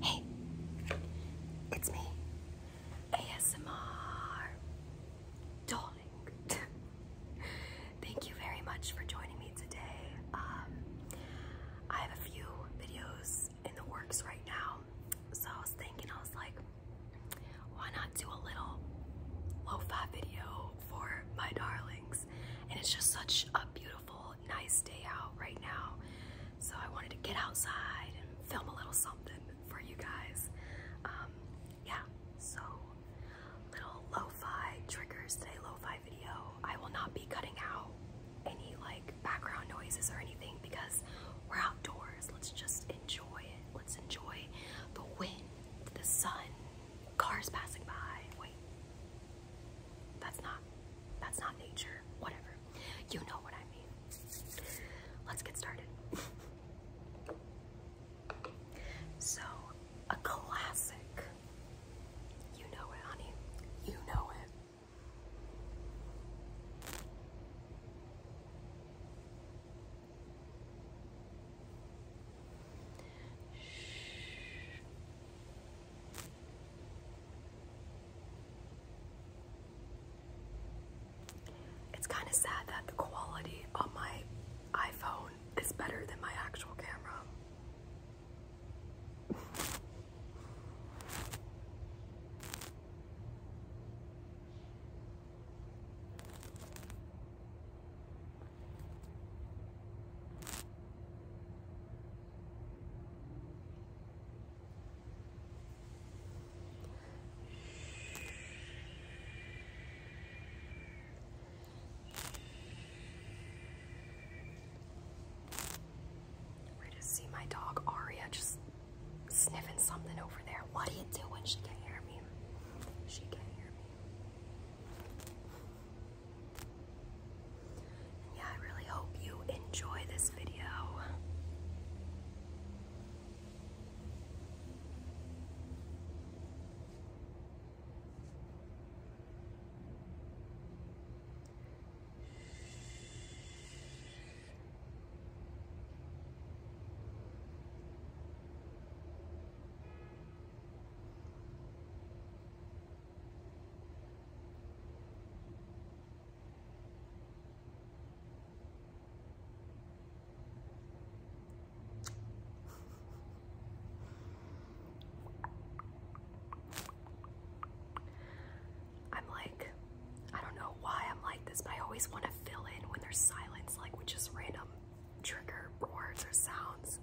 Hey, it's me, ASMR Darling. Thank you very much for joining me today. Um, I have a few videos in the works right now, so I was thinking, I was like, why not do a little lo-fi video for my darlings? And it's just such a beautiful nice day out right now. So I wanted to get outside and film a little something for you guys. Um, yeah, so little lo-fi triggers day lo-fi video. I will not be cutting out any like background noises or anything because we're outdoors. Let's just enjoy it. Let's enjoy the wind, the sun, cars passing by. Wait. That's not that's not nature. Whatever. You know what I mean. Let's get started. so, a classic. You know it, honey. You know it. Shh. It's kind of sad that the quality on my iPhone is better than my actual camera. We just see my dog Aria just sniffing something over there. What do you do when she can't hear me? She can't hear me yeah, I really hope you enjoy this video. I'm like, I don't know why I'm like this, I always want to fill in when there's silence, like with just random trigger words or sounds.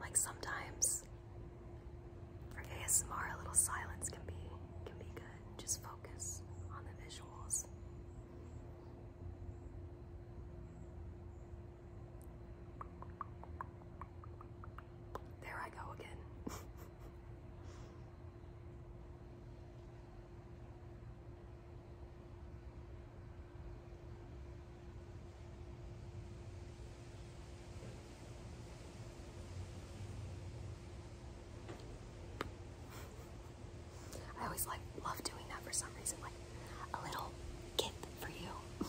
like, sometimes for ASMR, a little silence can be can be good. Just focus on the visuals. There I go again. I always like love doing that for some reason, like a little gift for you.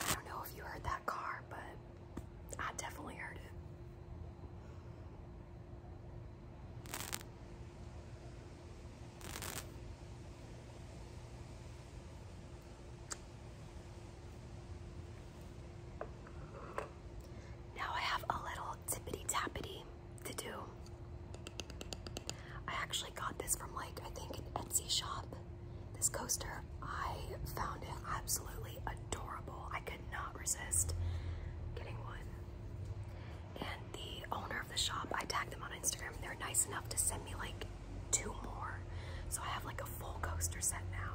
I don't know if you heard that car, but I definitely heard it. Now I have a little tippity tappity to do. I actually got this from like I think an Etsy shop. This coaster, I found it absolutely adorable. I could not resist getting one. And the owner of the shop, I tagged them on Instagram. They're nice enough to send me like two more. So I have like a full coaster set now.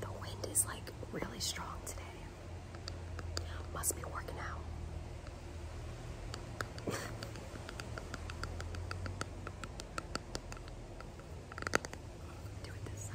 The wind is like really strong today. Must be working out. Do it this side.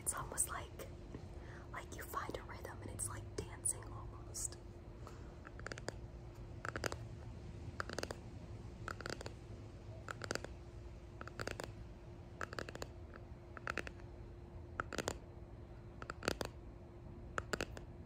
it's almost like like you find a rhythm and it's like dancing almost.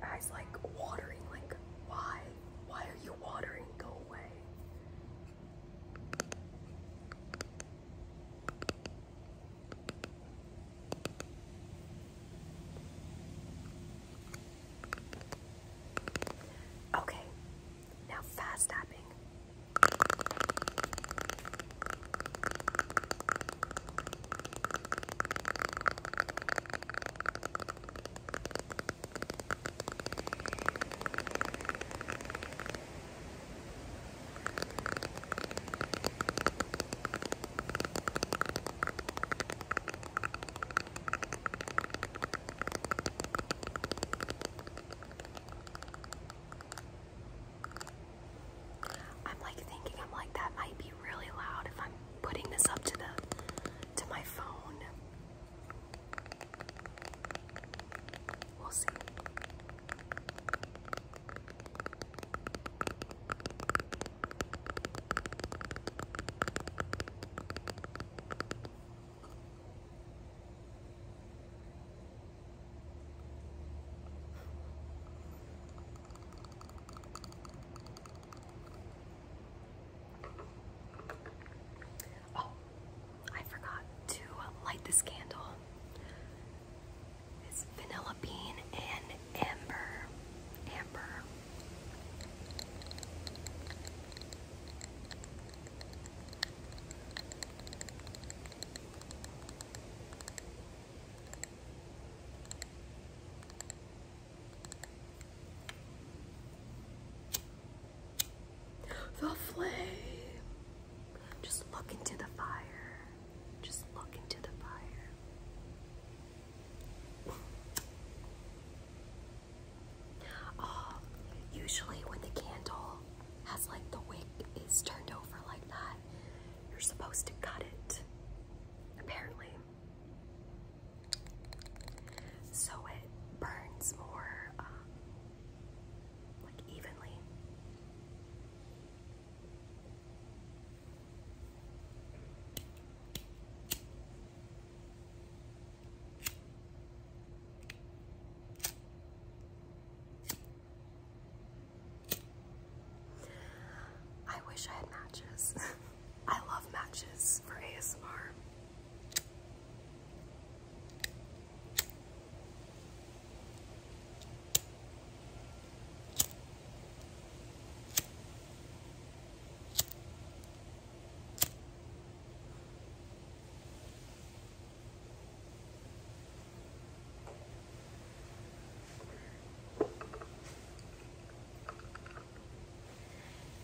My eyes like watering, like why? Why are you watering? Go away. Okay, now fast tapping. I'm like thinking, I'm like, that might be really loud if I'm putting this up to the to my phone. Oh, I forgot to light this candle. It's vanilla bean and amber. Amber. The flame. Just look into the fire. Just look into the fire. Oh, usually when the candle has like the wick is turned over like that, you're supposed to cut it. Apparently so it burns more um, like evenly. I wish I had matches. I love matches for ASMR.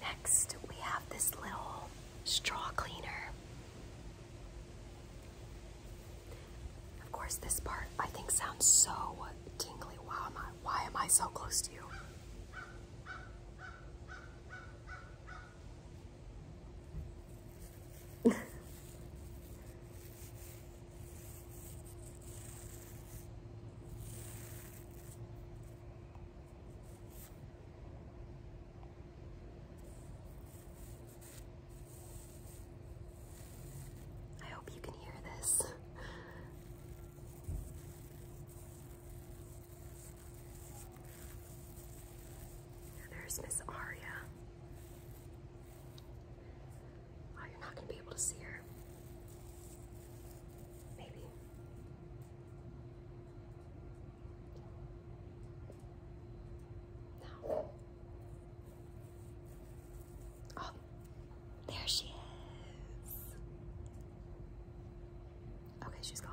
Next, we have this little straw cleaner. Of course, this part I think sounds so tingly. Why am I, why am I so close to you? I hope you can hear this. There's Miss Aria. Oh, you're not going to be able to see her. Maybe. No. Oh, there she is. Okay, she's gone.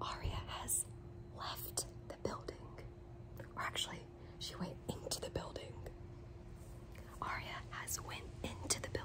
Aria has left the building. Or actually, she went into the building. Arya has went into the building.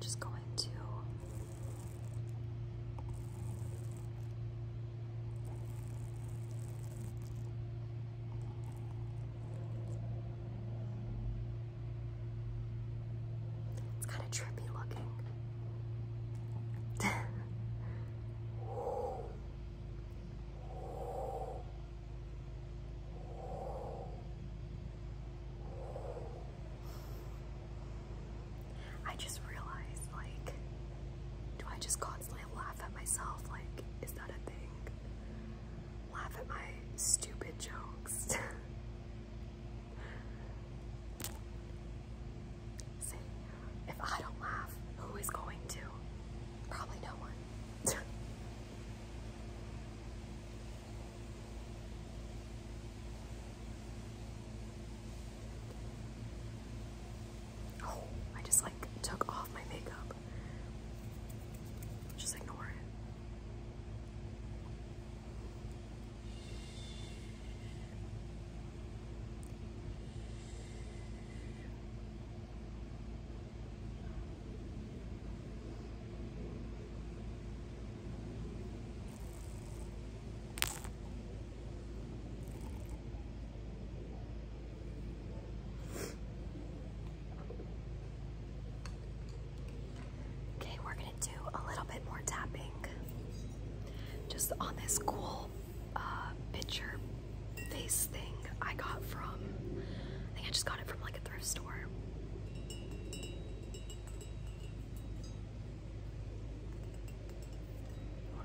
Just going to it's kind of trippy looking. I just realized, like, do I just constantly laugh at myself? Like, is that a thing? laugh at my stupid jokes. if I don't laugh, who is going to? Probably no one. oh, I just like took off my makeup. Just ignore it. Okay, we're gonna do a little bit more tapping just on this cool uh, picture face thing I got from, I think I just got it from like a thrift store. Or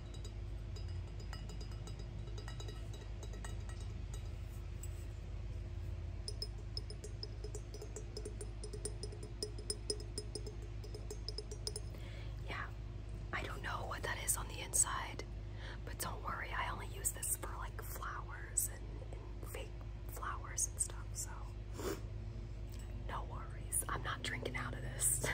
Yeah, I don't know what that is on the inside, but don't worry, I only use this for like flowers and, and fake flowers and stuff, so no worries. I'm not drinking out of this.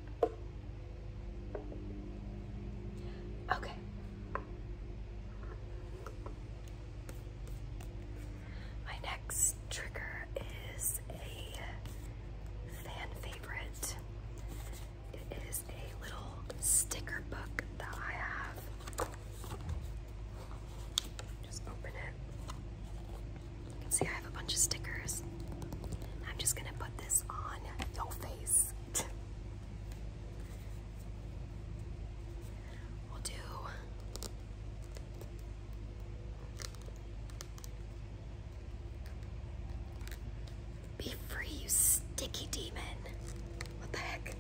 Okay. My next trigger is a fan favorite. It is a little sticker book that I have. Just open it. You can see I have a bunch of stickers. I'm just gonna put this on your face. we'll do. Be free, you sticky demon. What the heck?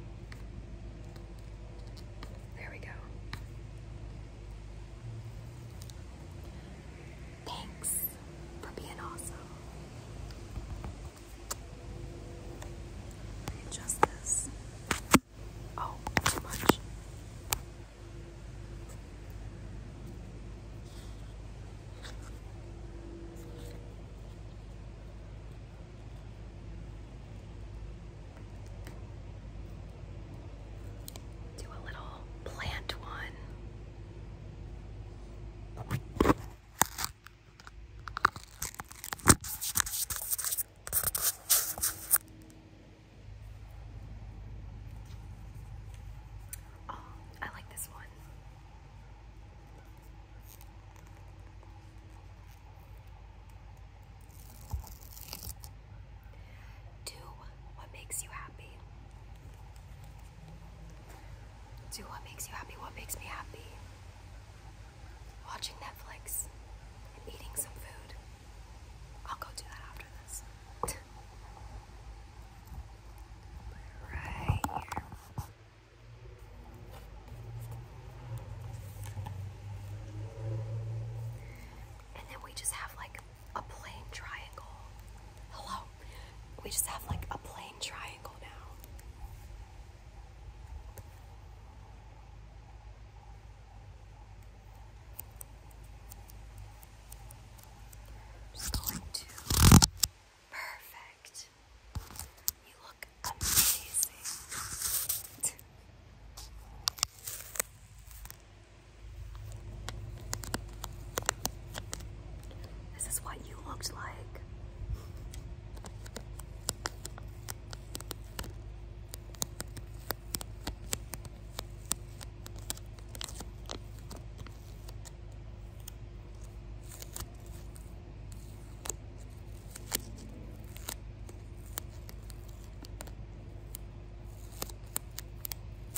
There we go. Thanks for being awesome. Let this. Oh, too much. Do a little plant one. Oh, I like this one. Do what makes you happy. Do what makes you happy. What makes me happy? Watching Netflix and eating some food. I'll go do that after this. right And then we just have like a plain triangle. Hello. We just have like a plain triangle now. I'm going to perfect. You look amazing. This is what you looked like.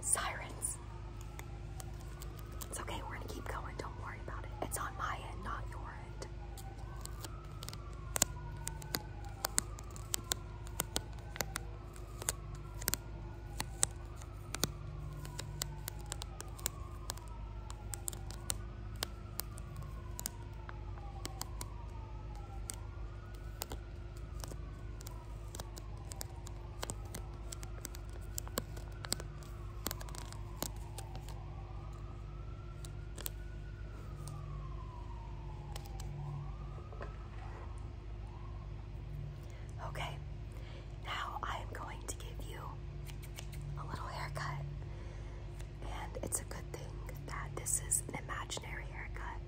Sirens. It's okay, we're gonna keep going. Don't worry about it. It's on my end, not your end. Okay, now I am going to give you a little haircut, and it's a good thing that this is an imaginary haircut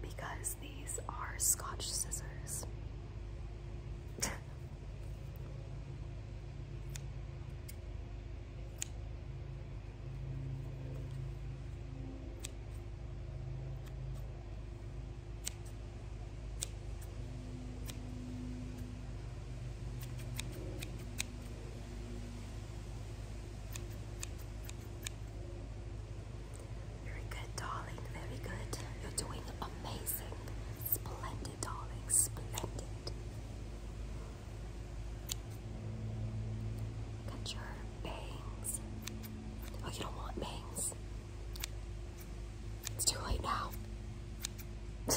because these are Scotch scissors. Very good, darling. Very good. You're doing amazing. Splendid, darling. Splendid. Cut your bangs. Oh, you don't want bangs. It's too late now.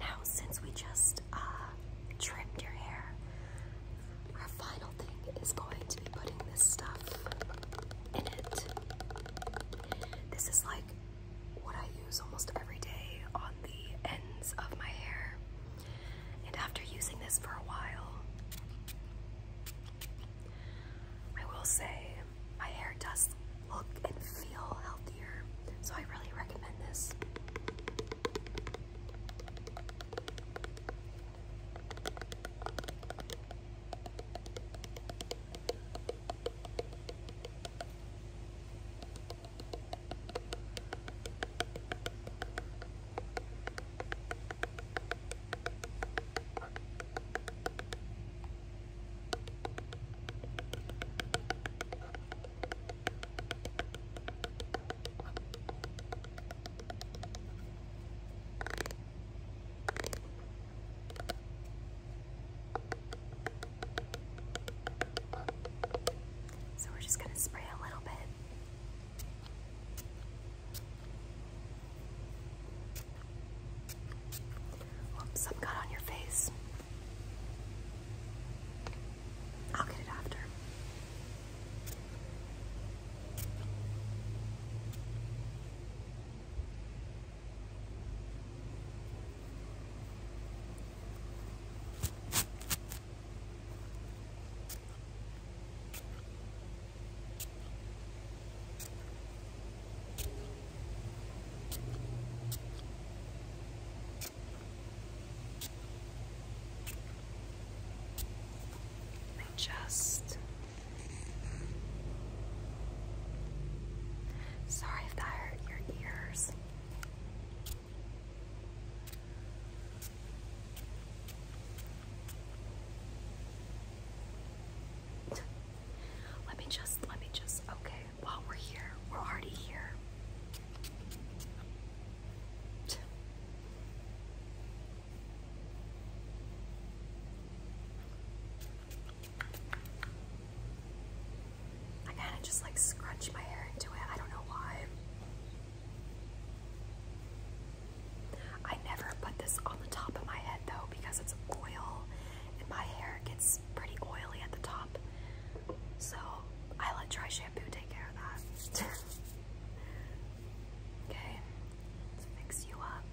Now, since we just uh, trimmed your hair, our final thing is going to be putting this stuff in it. This is like what I use almost every day on the ends of my hair. And after using this for a while, I will say my hair does look and feel healthier. So I really recommend this. So we're just going to spray a little bit some got on your face. I'll get it after. I just. Sorry if that hurt your ears. Let me just, let me just, okay while we're here. We're already here. I kind of just like scrunch my hair into it. I don't know why. I never put this on the top of my head though because it's oil and my hair gets pretty oily at the top. So I let dry shampoo take care of that. okay, let you up.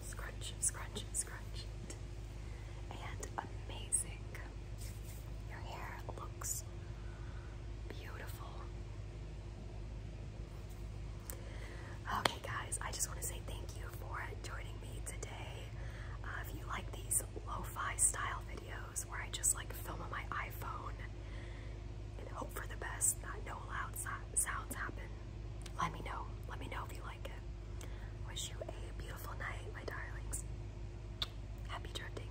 Scrunch, scrunch, scrunch. And amazing. Your hair looks beautiful. Okay, guys, I just want to say thank you for joining me today. Uh, if you like these lo-fi style videos where I just like film on my iPhone and hope for the best, that no loud so sounds happen, let me know. Let me know if you like it. Wish you a beautiful night, my darlings. Happy drifting.